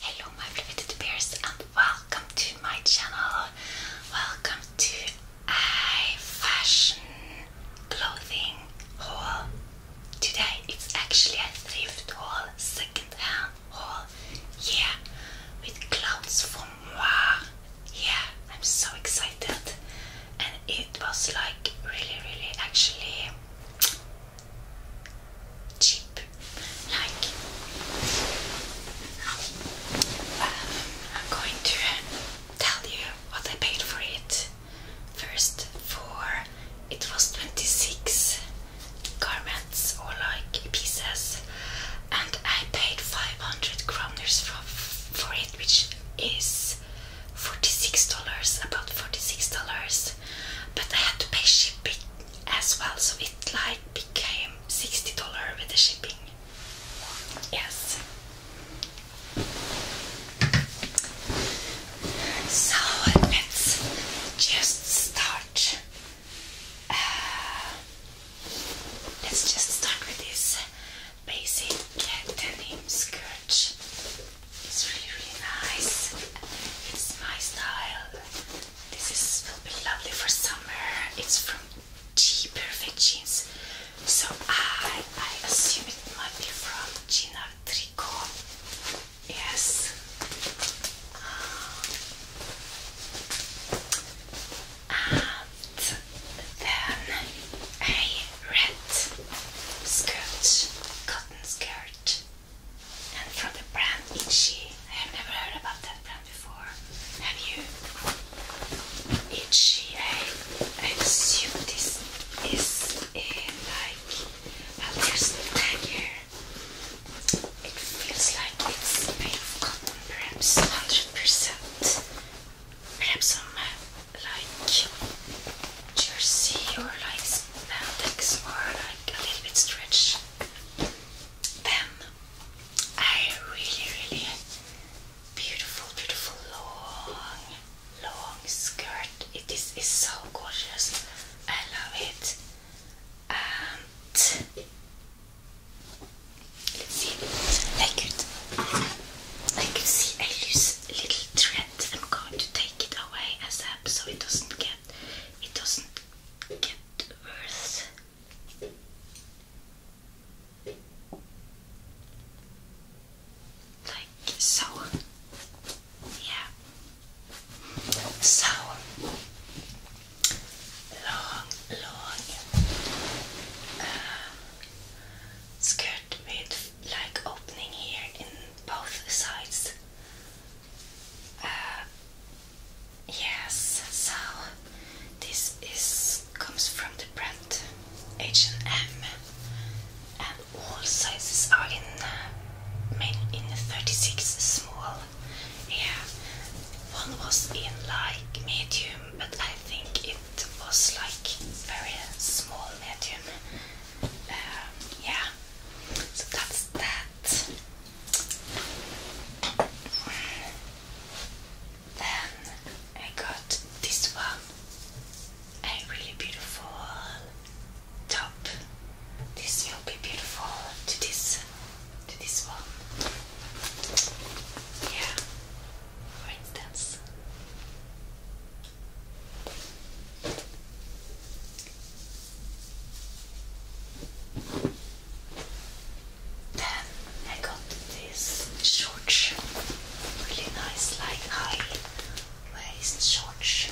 Hello my beloved teddy and welcome to my channel. Welcome to I fashion clothing Hall. Today it's actually a thrift hall, second hall. Yeah, with clothes for moi. Yeah, I'm so excited. And it was like really, really actually cheap, like um, I'm going to tell you what I paid for it. First, for it was 26 garments or like pieces, and I paid 500 kroners for, for it, which is $46, about $46. But I had to pay shipping, as well. So it like became $60 with the shipping. Yes. So let's just start. Uh, let's just start with this basic denim skirt. It's really, really nice. It's my style. This is will be lovely for summer. It's from G Perfect Jeans. So I I assume it might be from Gina Tricot. Yes. And then a red skirt, cotton skirt and from the brand Itchy. I have never heard about that brand before. Have you? Itchy. I, assume this is a, like, well, there's the tag here. It feels like it's made of cotton, perhaps 100%. Perhaps some uh, like jersey or like spandex or like a little bit stretched then I really, really beautiful, beautiful long, long skirt. It is is so gorgeous. I love it. And Let's see, I could, I could see a little thread. I'm going to take it away as so it doesn't get, it doesn't get worse. Like uh, so. Yeah. So long, long uh, skirt with like opening here in both sides. Uh, yes, so this is comes from the brand H&M and all sizes are in uh, main in 36 small. Yeah, one was in like medium, but I think it was like very small medium. Um, yeah, so that's that. Then I got this one, a really beautiful top. This will be beautiful to this to this one. Yeah, for instance. Then I got these shorts, really nice, like high waist shorts.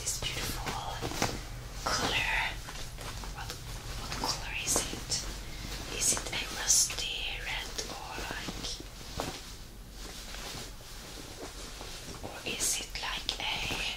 This beautiful color. What what color is it? Is it a rusty red or like or is it like a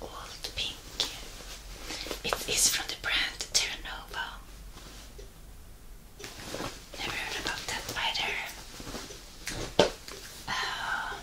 old pink. It is from the brand Terranova. Never heard about that either. Uh,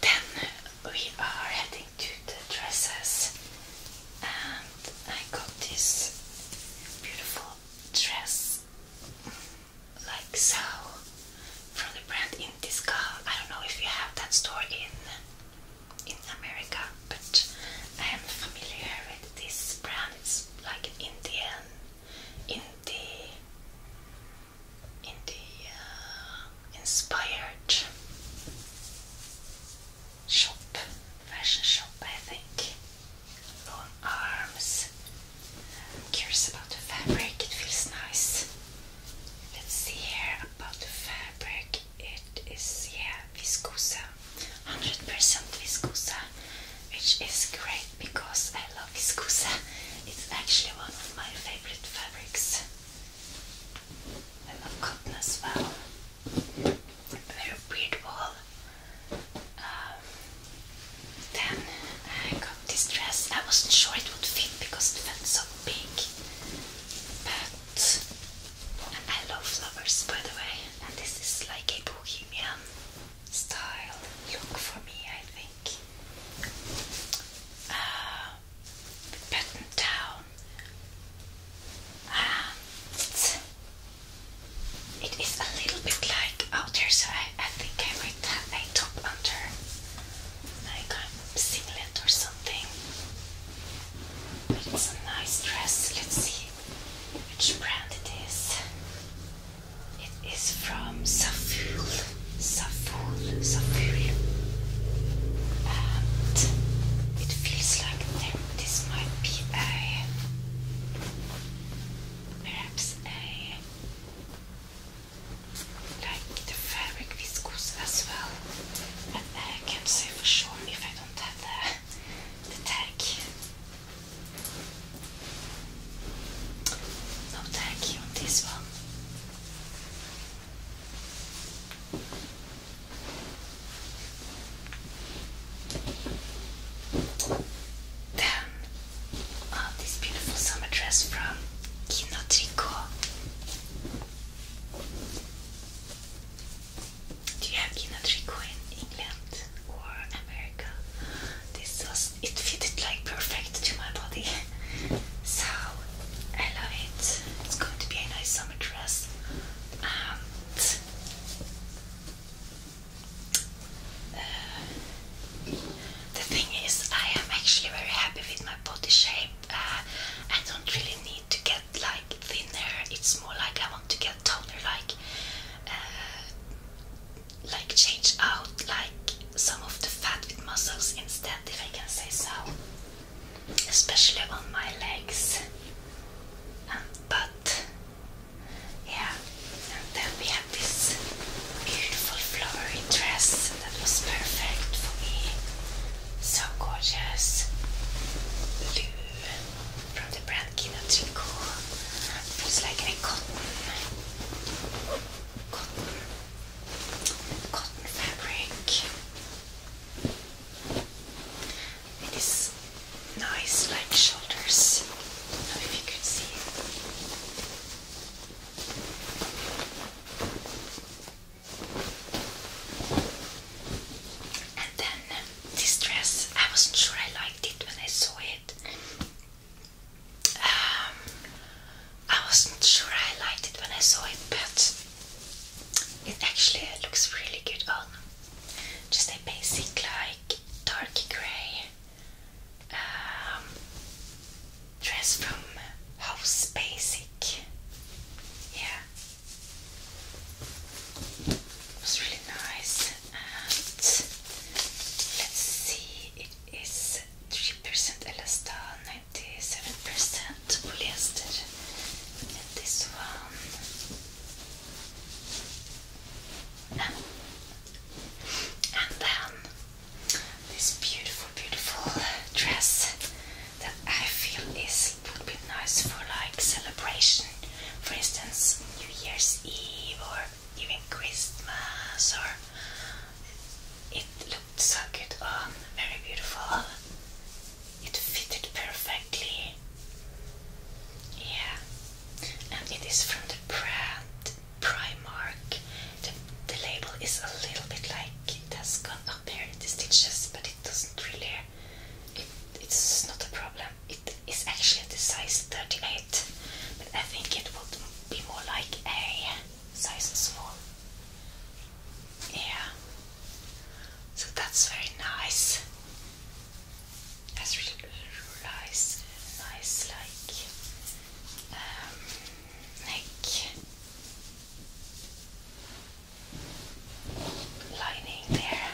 then we are heading to the dresses, and I got this beautiful dress, like so from the brand Intiscal. I don't know if you have that store in in America, but I am familiar with this brand. It's like an Indian, indie, indie uh, inspired shop, fashion shop, I think. Long arms. I'm curious about the fabric. It feels nice. Let's see here about the fabric. It is, yeah, viscosa, 100% viscosa, which is great because I love viscosa. It's actually one of my favorite fabrics. I love cotton as well. Very weird um, then I got this dress. I wasn't sure it would fit because it felt so big. But I love flowers by the way. And this is like a bohemian style look for me, I think. Uh, down. it is a little bit like out so I think I might have a top under like a singlet or something. it's a nice dress. Let's see which brand it is. It is from Saful. Saful. Saful. And it feels like this might be a perhaps a like the fabric viscose as well. But I can't say for sure if I don't have the, tag. No tag on this one. Then, oh, this beautiful summer dress from Kino do you have Kinatri Queen England or America? This was it fitted like perfect to my body. so I love it. It's going to be a nice summer dress. Uh, the thing is, I am actually very happy with my body shape. Uh, I don't really need to get like thinner. It's more like I want to get toner, like uh, like change out like some of the fat with muscles instead, if I can say so. Especially on my legs. Um, but yeah, and then we have beautiful flowery dress that was perfect for me. So gorgeous. Blue from the brand Kina Tricot. like a cotton, cotton, cotton fabric. It is nice, like shoulders. I do you could see. And then um, this dress, I wasn't sure I liked it when I saw it. Um, I wasn't sure I liked it when I saw it, but it actually looks really good on. Just a basic, like dark grey um, dress from House Basic. Yeah, it was really nice. let's see, it is 3% elasta, 97% polyester. And this one. And then this beautiful, beautiful dress that I feel this would be nice for like celebration, for instance, New Year's Eve or even Christmas. Or it looked so good on, oh, very beautiful. It fitted perfectly. Yeah, and it is from the brand Primark. The, the label is a little bit like it has gone up here in the stitches, but it doesn't really. It, it's not a problem. It is actually the size 38, but I think it would be more like a size small. Yeah. So that's very nice. That's really, really nice, like um, neck lining there.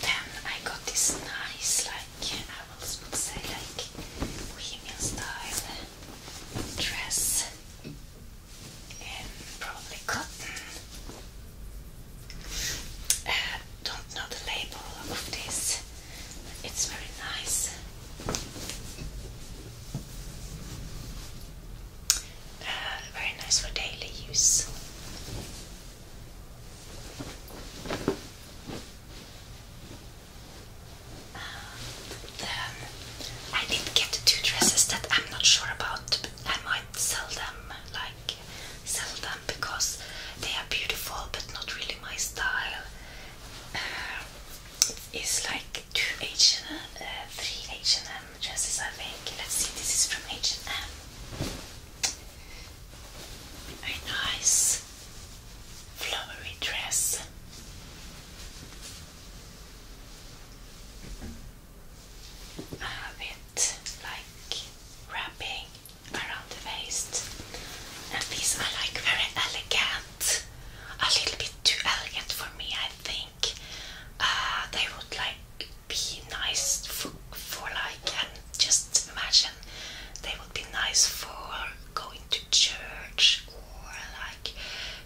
Then I got this nice, like I would say, like bohemian style dress in probably cotton. Uh, don't know the label of this, it's very nice. Uh, very nice for daily use. Uh, then I did get two dresses that I'm not sure about. I might sell them, like sell them because they are beautiful but not really my style. It's like two H and uh, three H and M dresses. I think. Let's see. This is from H and M. nice flowery dress. I have it like wrapping around the waist, and these are like very elegant a little bit too elegant for me, I think. Uh, they would like be nice for, like, and just imagine they would be nice for going to church or like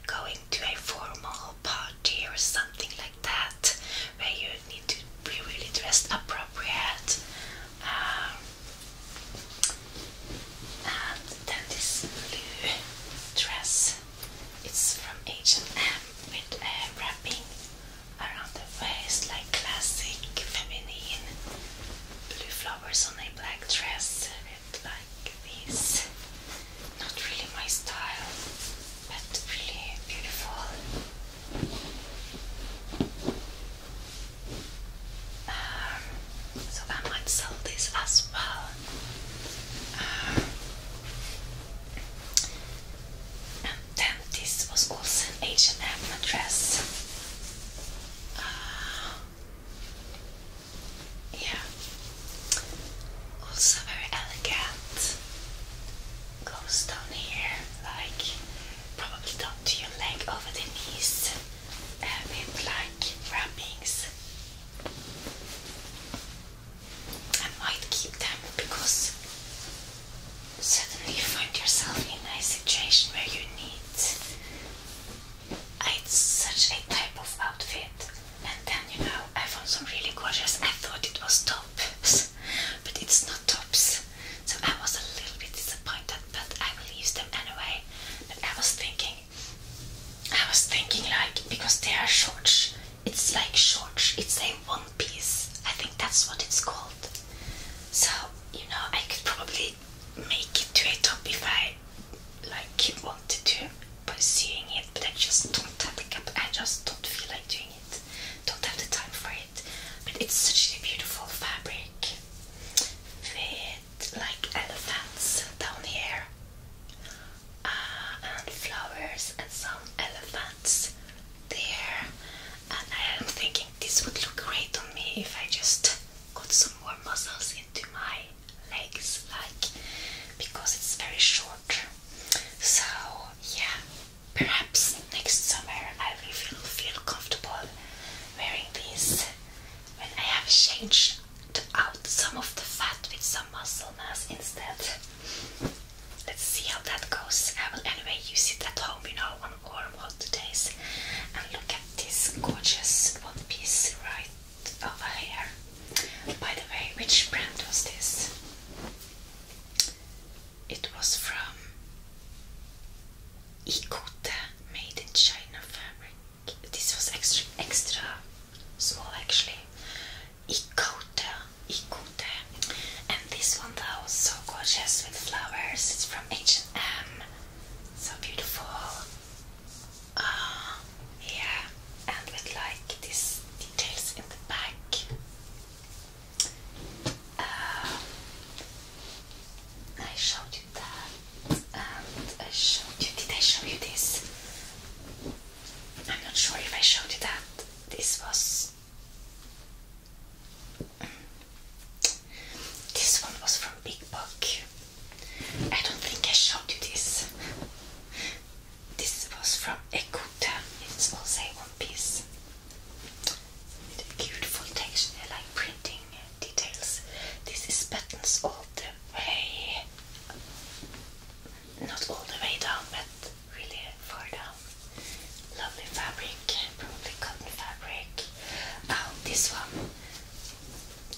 going to a formal party or something like that, where you need to be really dressed appropriate um, and then this blue dress. It's from H&M with a uh, wrapping around the waist, like classic feminine. Blue flowers on a black dress with like these. Not really my style, but really beautiful. Um, so I might sell this as well. Um, and then this was also an H&M dress. Uh, yeah. Also very elegant. Goes down here, like probably down to your leg over the knees uh, with like wrappings. I might keep them because suddenly you find yourself in a situation where you need such a type of outfit. And then you know, I found some really gorgeous. I thought it was tops, but it's not tops. So I was a little bit disappointed but I will use them anyway. But I was thinking, I was thinking like because they are shorts, it's like shorts, it's a one piece. I think that's what it's called. So you know, I could probably make it to a top if I like wanted to by seeing it, but I just don't have the cap. I just don't feel like doing it. Don't have the time for it. But it's such a beautiful fabric with like elephants down here uh, and flowers and some elephants there and I am thinking this would look great on me if I just got some more muscles into my legs like because it's very short so yeah perhaps next summer I will feel, feel comfortable wearing these when I have changed out some of the fat with some muscle mass instead. Let's see how that goes. I will anyway use it at home, you know, on warm hot days. And look at this gorgeous one piece right over here. By the way, which brand was this? It was from Ikote, made in China fabric this was extra small actually. Ikote, Ikote. And this one that was so gorgeous with flowers. It's from H&M. So beautiful. Uh, yeah. And with like these details in the back. Uh, I showed did I show you this? I'm not sure if I showed you that. This was this one was from Big Book. I don't think I showed you this. This was from Ekuta. It's also a one piece. beautiful texture like printing details. This is buttons all the way, not all the way down, but really far down. Lovely fabric, probably cotton fabric. Now um, this one,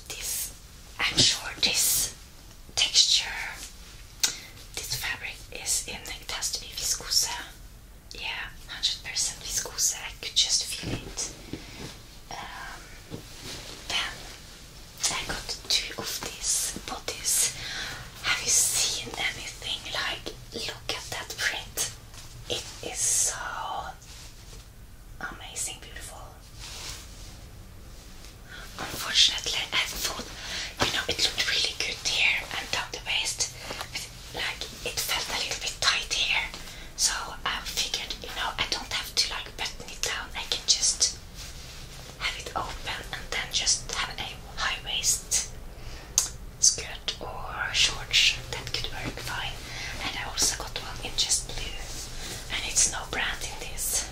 this I'm sure this texture, this fabric is in. It has to be viscose. Yeah, hundred percent viscose. I could just feel it then um, I got two of these bodies. Have you seen anything like? Look at that print. It is so amazing, beautiful. Unfortunately, I thought you know it looked really good here and down the waist, like it felt a little bit tight here. So I figured, you know, I don't have to like button it down. I can just have it open and then just have a high waist skirt or shorts. That could work fine. And I also got one in just blue. And it's no brand in this.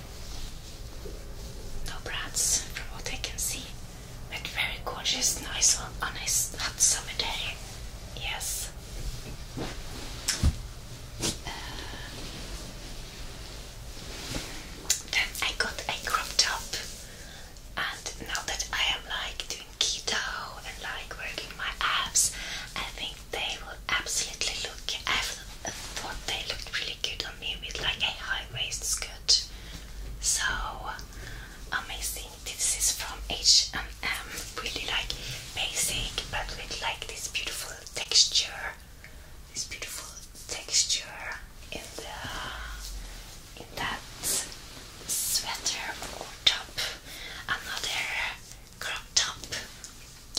No brands from what I can see. But very gorgeous, nice on a hot summer day. Yes. Then I got a crop top, and now that I am like doing keto and like working my abs, I think they will absolutely look. I thought they looked really good on me with like a high waist skirt. So amazing this is from H&M. Really like basic, but with like this beautiful texture. This beautiful texture in the in that sweater or top. Another crop top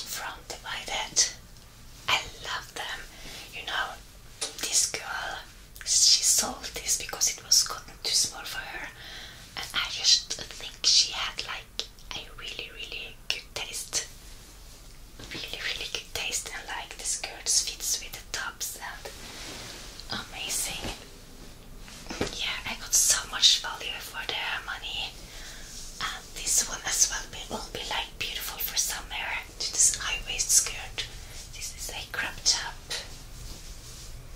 from Divided. I love them. You know, this girl she sold this because it was gotten too small for her I just think she had like a really really good taste really really good taste and like the skirts fits with the tops and amazing yeah I got so much value for the money and this one as well will be like beautiful for summer this high waist skirt this is like crop top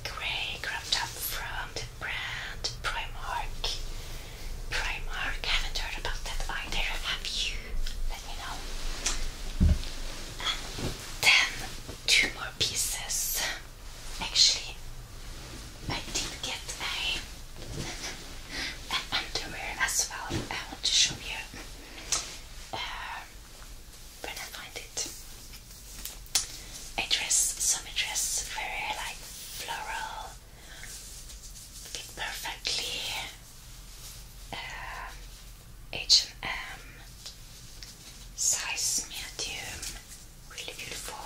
grey cropped up from the brand Primark. Primark, haven't heard about that either, have you? Let me know. then two more pieces. Actually, I did get a underwear as well. I want to show you uh, when I find it. I dress, summer dress, very like floral, perfectly. Uh, H and M, size medium, really beautiful,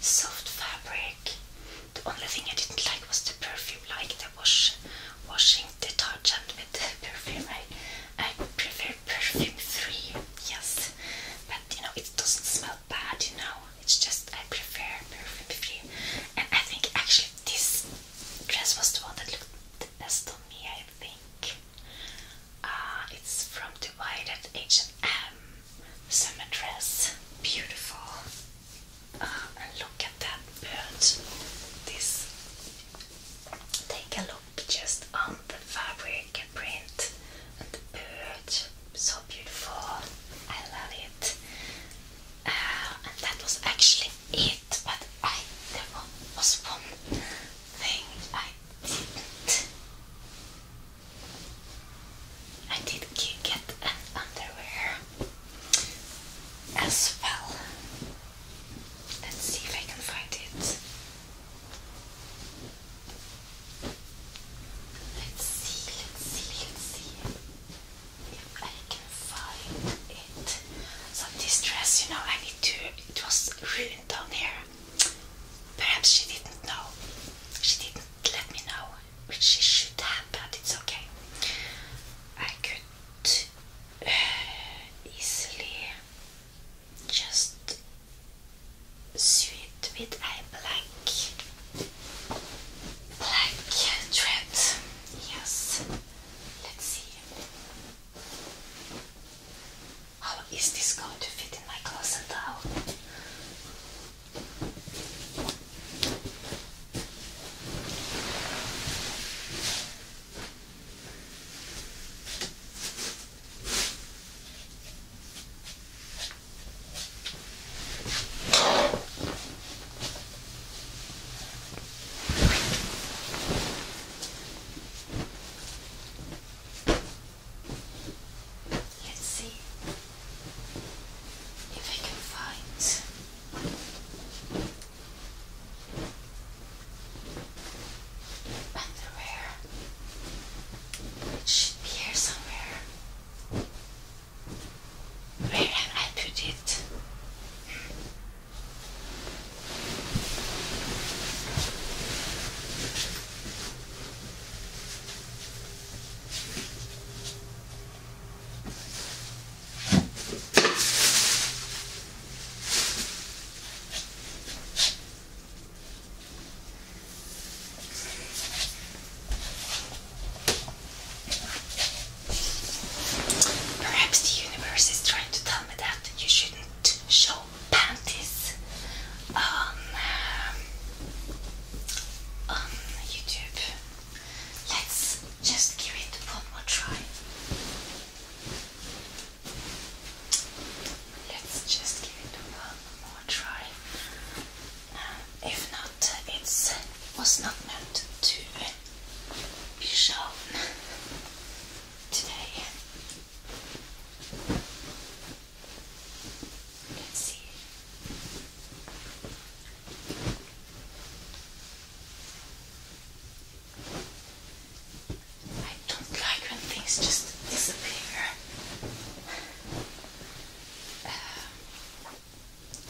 soft fabric. The only thing I didn't like was the perfume, like the wash, washing detergent with the perfume. I, I prefer perfume free, yes, but you know it doesn't smell not you know. It's just I prefer perfume perfume. And I think actually this dress was the one that looked the best on me, I think. Uh, it's from Dubai, that H&M summer dress. Beautiful. Uh, and look at that bird. This. Take a look just on the fabric can print and the bird, so beautiful. I love it. Uh, and that was actually it, but there was one thing I didn't. I did get an underwear as well. Let's see if I can find it. Let's see, let's see, let's see if I can find it. So this you know, I need to, it was ruined down here. Perhaps she didn't know. She didn't let me know, which she should have, but it's okay. I could uh, easily just sew it with a blank, black thread. Yes. Let's see. How is this going to fit in my closet now? Let's see if I can find. Underwear it should be here somewhere. Where have I put it? Perhaps the universe is trying to tell me that you shouldn't show panties on, um, on um, YouTube. Let's just give it one more try. Let's just give it one more try. Uh, if not, it was not meant to be shown today. Let's see don't like when things just disappear. Um,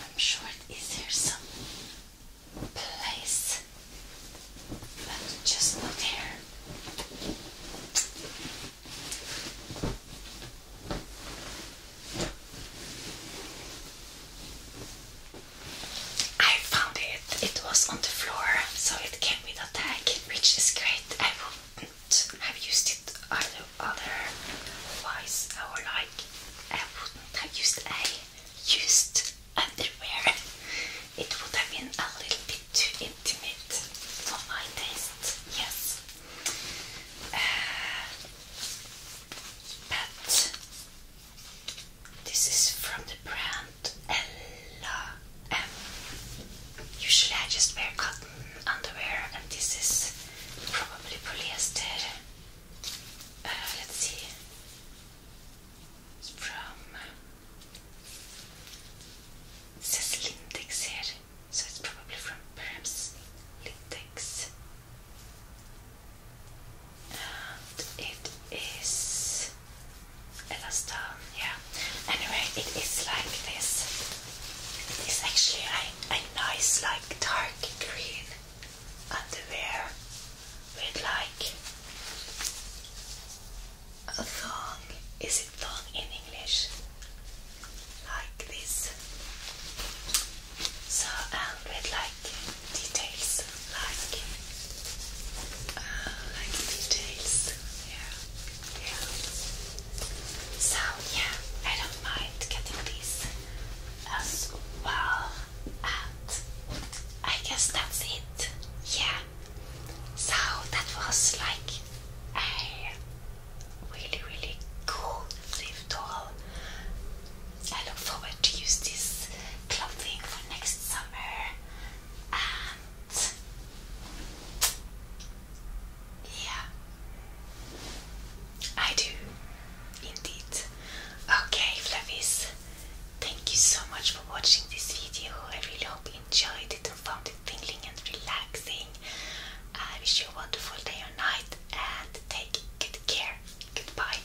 I'm sure it is there some place, but just not here. I found it. It was on the floor, so it came with a tag, which is great. I will would have used it either otherwise or like I uh, wouldn't have used a used underwear. It would have been a little bit too intimate for my taste, yes. Uh, but this is from the brand Ella um, usually I just wear cotton underwear, and this is probably polyester. Uh, let's see, it's from uh, it so it's probably from perhaps Lindex. And it is Elastar yeah. Anyway, it is like this. It is actually a, a nice, like dark green underwear with like a thong. Is it thong in English? Like this. So and um, with like details, like uh, like details. Yeah. So yeah, I don't mind getting these as well. And I guess that's it. Yeah. So that was like a really really cool thrift haul. I look forward to use this clothing for next summer and yeah, I do indeed. Okay, Flavis, thank you so much for watching this video. I really hope you enjoyed it and found it tingling and relaxing. I wish you a wonderful day or night and take good care. Goodbye.